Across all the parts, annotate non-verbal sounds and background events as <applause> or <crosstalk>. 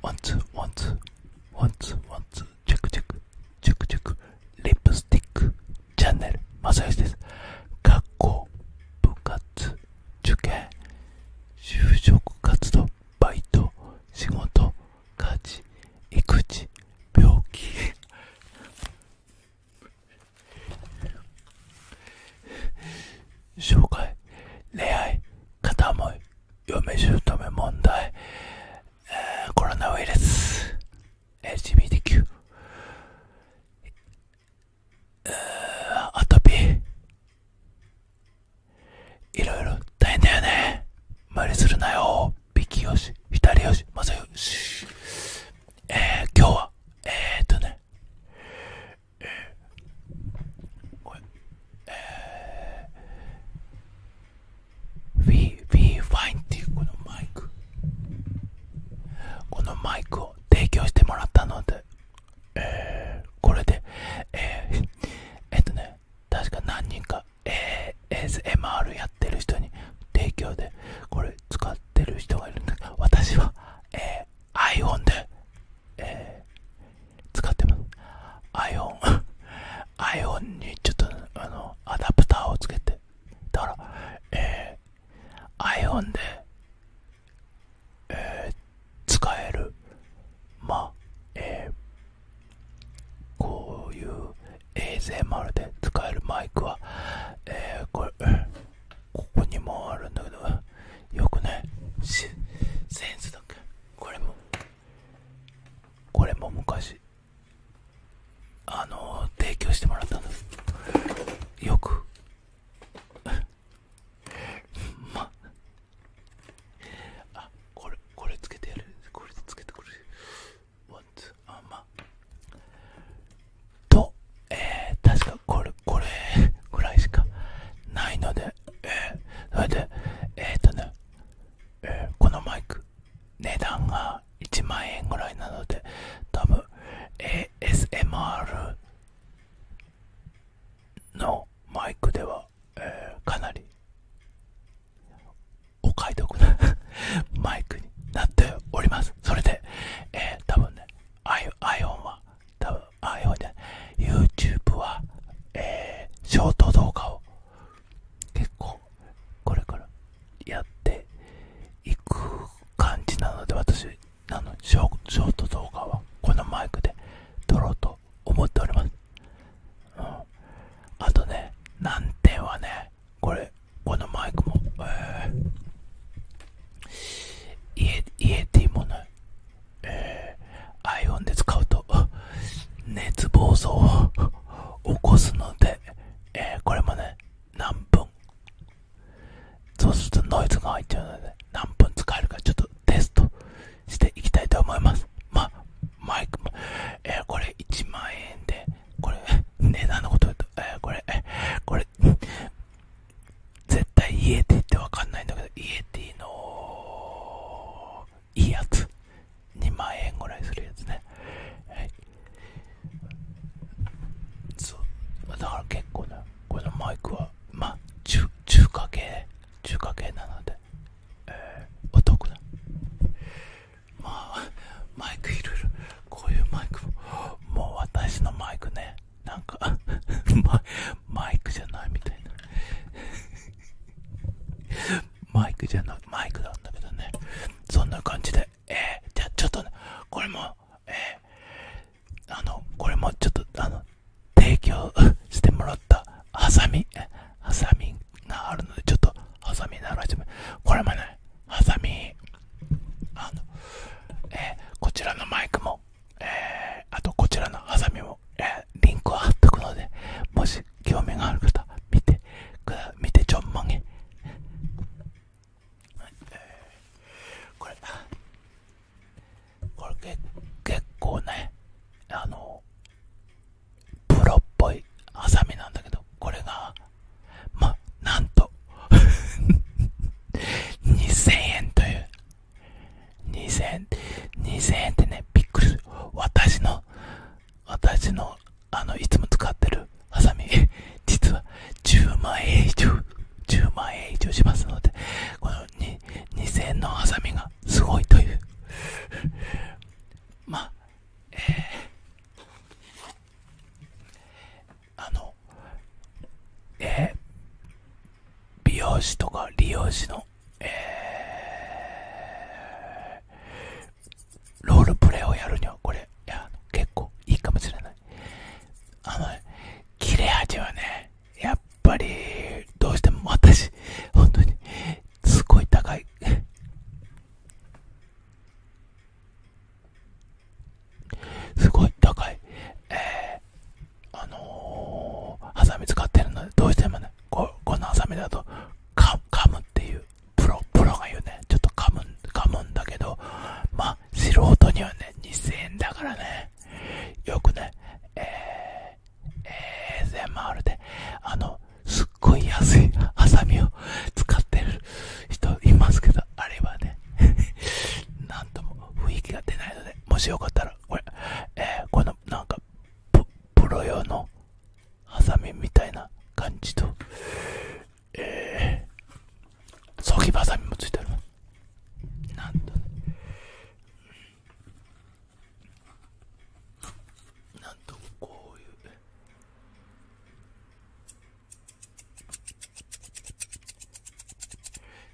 ワンツーワンツーワンツーワンツーチェックチェックチェックチェックリップスティックチャンネルまさよしです学校部活受験就職活動バイト仕事家事育児病気紹介、恋愛、片思い、嫁姑問題、コロナウイルス、LGBTQ、えー、アトピいろいろ大変だよね。無理するなよ。ビキヨシ、ヒタリヨシ、マサヨシ。えー、今日は、えー、っとね、えこれえ v We, We Fine っていうこのマイクこのマイクを提供してもらったのでえこれでええっとね確か何人か、ASMR やってる人に提供でこれ使ってる人がいるんだけど私は、え iPhone で、え使ってます <laughs> iPhone にちょっとあのアダプターをつけてだから、え iPhone で、え使えるまあえこういう ASMR で使えるマイクは、えこれ、ここにもあるんだけど、よくなセンスだっけこれもこれも昔あの提供してもらったんですよく <laughs> まあこれこれつけてやるこれつけてくるあまとえー、確かこれこれぐらいしかないので、それでえっ、とね、このマイク値段が1万円ぐらいなので多分 ASMR のマイクでは、えかなりお買い得な <laughs> マイクになっておりますそれで、えー、多分ね iPhone は多分あ、やばいね。YouTube は、えショート動画を結構、これからやっていく感じなので、私、あのショ、ート動画はこのマイクで撮ろうと思っております。うん、あとね、難点はね、これ、このマイクも、家っていうもの。えー、アイオンで使うと熱暴走を起こすので、えこれもね何分そうするとノイズが入っちゃうので何分使えるかちょっとテストしていきたいと思いますまあマイクも、えこれ1万円でこれ値段のこと言と、えー、これこれ絶対イエティってわかんないんだけどイエティのいいやつ2万円ぐらいするやつねはいそうだから結構ねこのマイクはまあ中華系中華系なので、えー、お得なまあマイクいろいろこういうマイクもう私のマイクねなんか <laughs> マ、イクじゃないみたいな <laughs> マイクじゃない、マイクなんだけどね。そんな感じで、えじゃあちょっと、ね、これも、えあの、これもちょっと、あの、提供してもらったハサミ、ハサミがあるので、ちょっと、ハサミならしてもこれもね、ハサミ、えこちらのマイクもえあとこちらのハサミも、えリンクを貼っとくのでもし興味がある方見てくだ見てちょんまげこれこれ結構ねあのプロっぽいハさみなんだけどこれがまなんと2000 <laughs> 円という2000 2000円ってね、びっくりする。私の、私の、あの、いつも使ってるハさみ。<laughs> 実は10万円以上、10万円以上しますので、この2000のハさみがすごいという。<laughs> まあ、えー、あの、えー、美容師とか理容師の、えー、ロールプレイをやるには、これ、いや結構いいかもしれない。あの、切れ味はね、やっぱり、どうしても私、本当に、すごい高い。すごい高い、えー、あのハサミ使ってるので、どうしてもね、このハサミだと、か、噛むっていう、プロ、プロが言うね、ちょっと噛む、噛むんだけど、まあ、素人にはね、2000円だからね、よくね、えー、全 s m r で、あの、すっごい安いハサミを使ってる人いますけど、あれはね、ね <laughs> なんとも雰囲気が出ないのでもしよかったらこれ、えこのなんかプロ用のハサミみたいな感じとえー、ソギバサミもついてる。りなんとねなんとこういう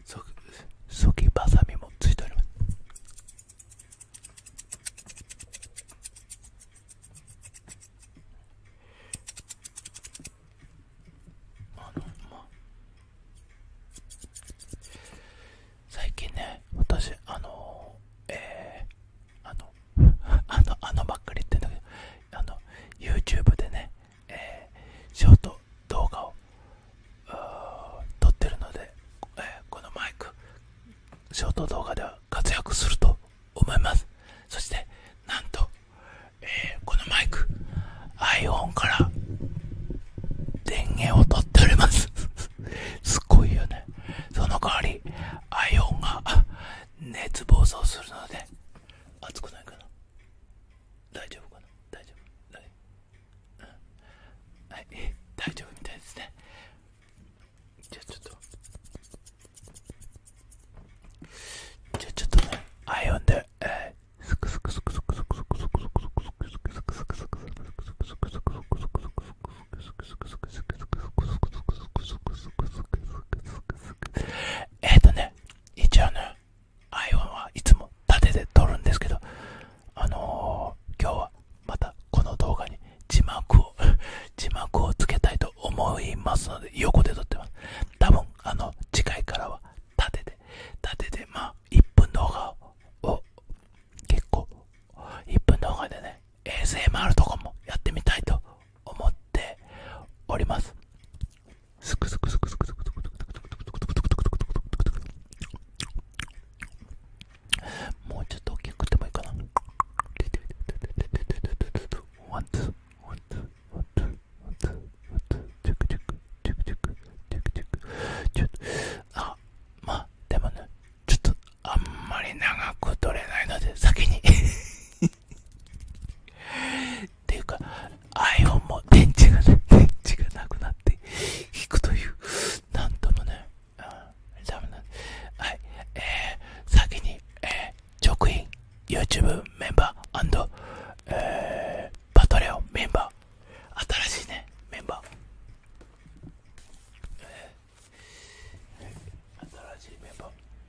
そそぎばさみもついておりますあのまあ最近ね私あのえー、あの <laughs> あのあのばっかり言ってんだけどあの YouTube でね、えショート動画を撮ってるので、えこのマイクショート動画では活躍すると思いますそしてなんと、えこのマイク iPhone から電源を取っております <laughs> すごいよねその代わり iPhone が熱暴走するので熱くないかな大丈夫かな大丈夫 <laughs> 大丈夫みたいですねじゃあちょっとじゃあちょっとねアイオンでええ。えクスクスクスね iPhone はいつも縦で撮るんですけどあの今日はまたこの動画に字幕を <laughs> 字幕をつけたいと思いますので横で撮ってます多分あの次回からは縦で縦でまあ1分動画を結構1分動画でね ASMR とかもやってみたいと思っておりますすくすくすくすくすくすくすくすくすくすくすくすくすくもうちょっと大きくてもいいかなワンツーワンツーワンツーワンツーワンツーチェックチェックチェックチェックチェックチェックちょっとあまあでもねちょっとあんまり長く取れないので先にっていうか iPhone も電池がね電池がなくなって引くというなんともね、うん、ダメなんはいえー、先に、えー、直員 YouTube メンバー、えー、パトレオンメンバー新しいねメンバー新しいメンバー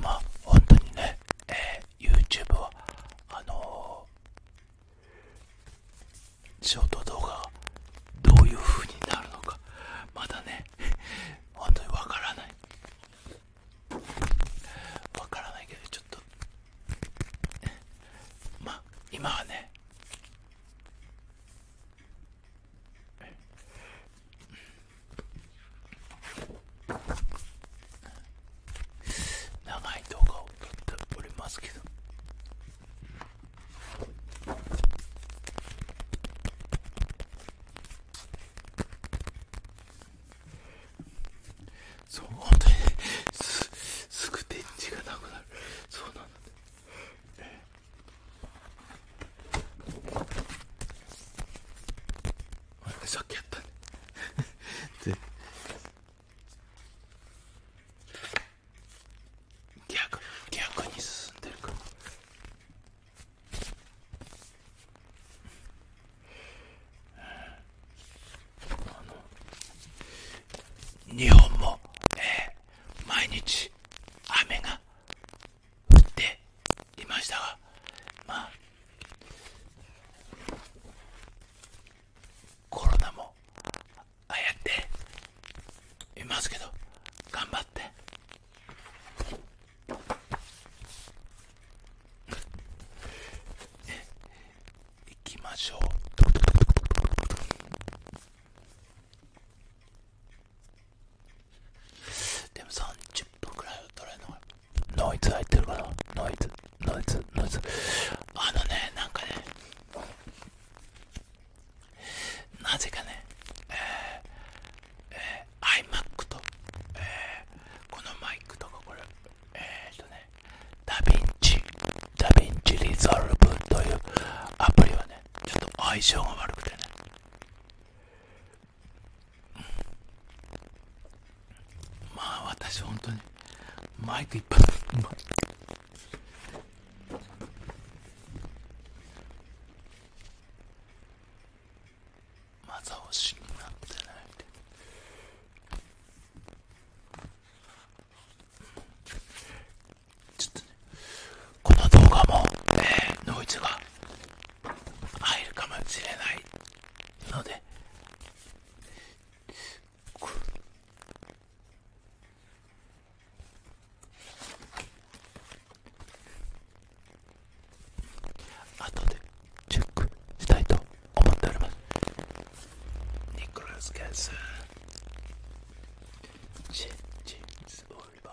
まあ本当にね、え YouTube はあのショート動画がどういう風になるのかまだね本当にわからないわからないけどちょっとまあ今はね長い動画を撮っておりますけどそうすすぐ電池がなくなるそうなんだねえさっきやったねで逆逆に進んでるからあの日本も、えー、毎日雨が降っていましたがまあコロナもああやっていますけど頑張って。行きましょうでも30分くらいは取れるのノイズ入ってるかなノイズノイズノイズあのねなんかねなぜかねえーえー、i m a クと、えー、このマイクとかこれえっ、とねダヴィンチダヴィンチリゾルブというアプリはねちょっと相性が悪くてね、まあ私本当にマイクいっぱいまだ押ってないでちょっとねこの動画も、えノイズが入るかもしれないので後でチェックしたいと思っておりますニコラス・ケンスジェジンズ・オリバー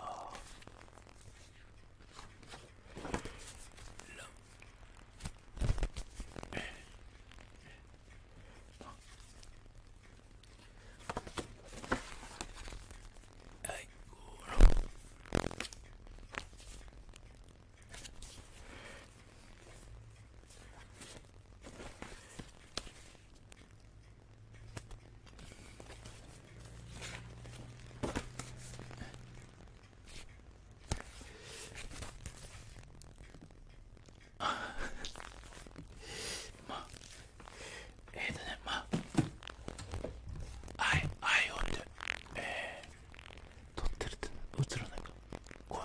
ランはい、ゴーロンまあえっ、ー、とねまあ愛撮ってるって映らないかこ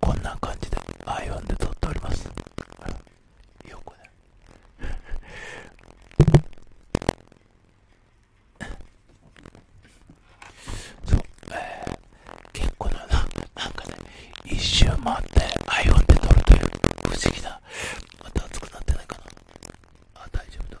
こんな感じでアイオンで撮っておりますよくねそうえー、結構なななんかね一周回ってアイオンで撮るという不思議なまた熱くなってないかなあ大丈夫だ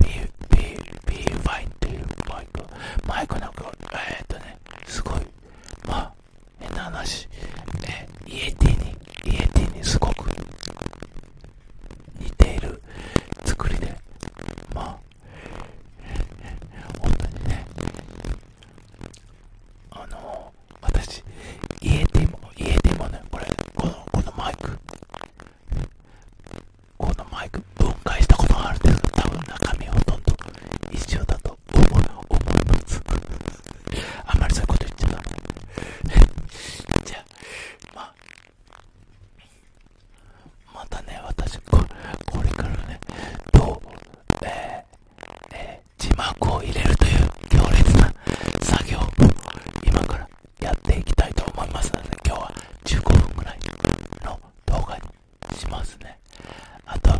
BY っていうバイクマイクなんかえっとねすごいまあ変な話えイエティにイエテにすごく似ている作りでまあ本当にねあの私家エも家エもねこれこのこのマイクこのマイク分解したことがある程度。多分中身ほとんど一緒だと思いますあんまりそういうこと言っちゃダメじゃあまたね私ここれからねどうえー、字幕を入れるという強烈な作業を今からやっていきたいと思いますので、今日は15分ぐらいの動画にしますね。あと、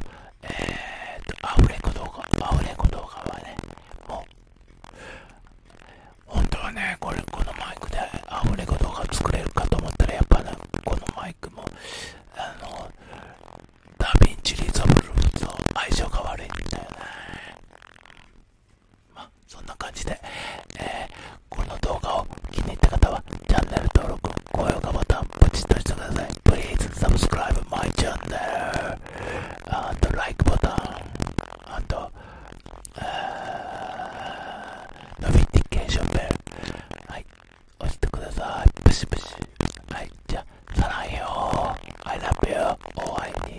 えー、と、アフレコ動画、アフレコ動画はね、もう、本当はね、これ、このマイクでアフレコ動画作れるかと思ったら、やっぱね、このマイクも、あの、ダヴィンチリゾブルと相性が悪いんだよね。まあ、そんな感じで、えこの動画を気に入った方はチャンネル登録、高評価ボタンポチッとしてください。Please subscribe my channel あと like ボタンあと、えー、ノビティケーションベルはい、押してください。プシプシ。はい、じゃあ、さらへよ。I love you. お会いに。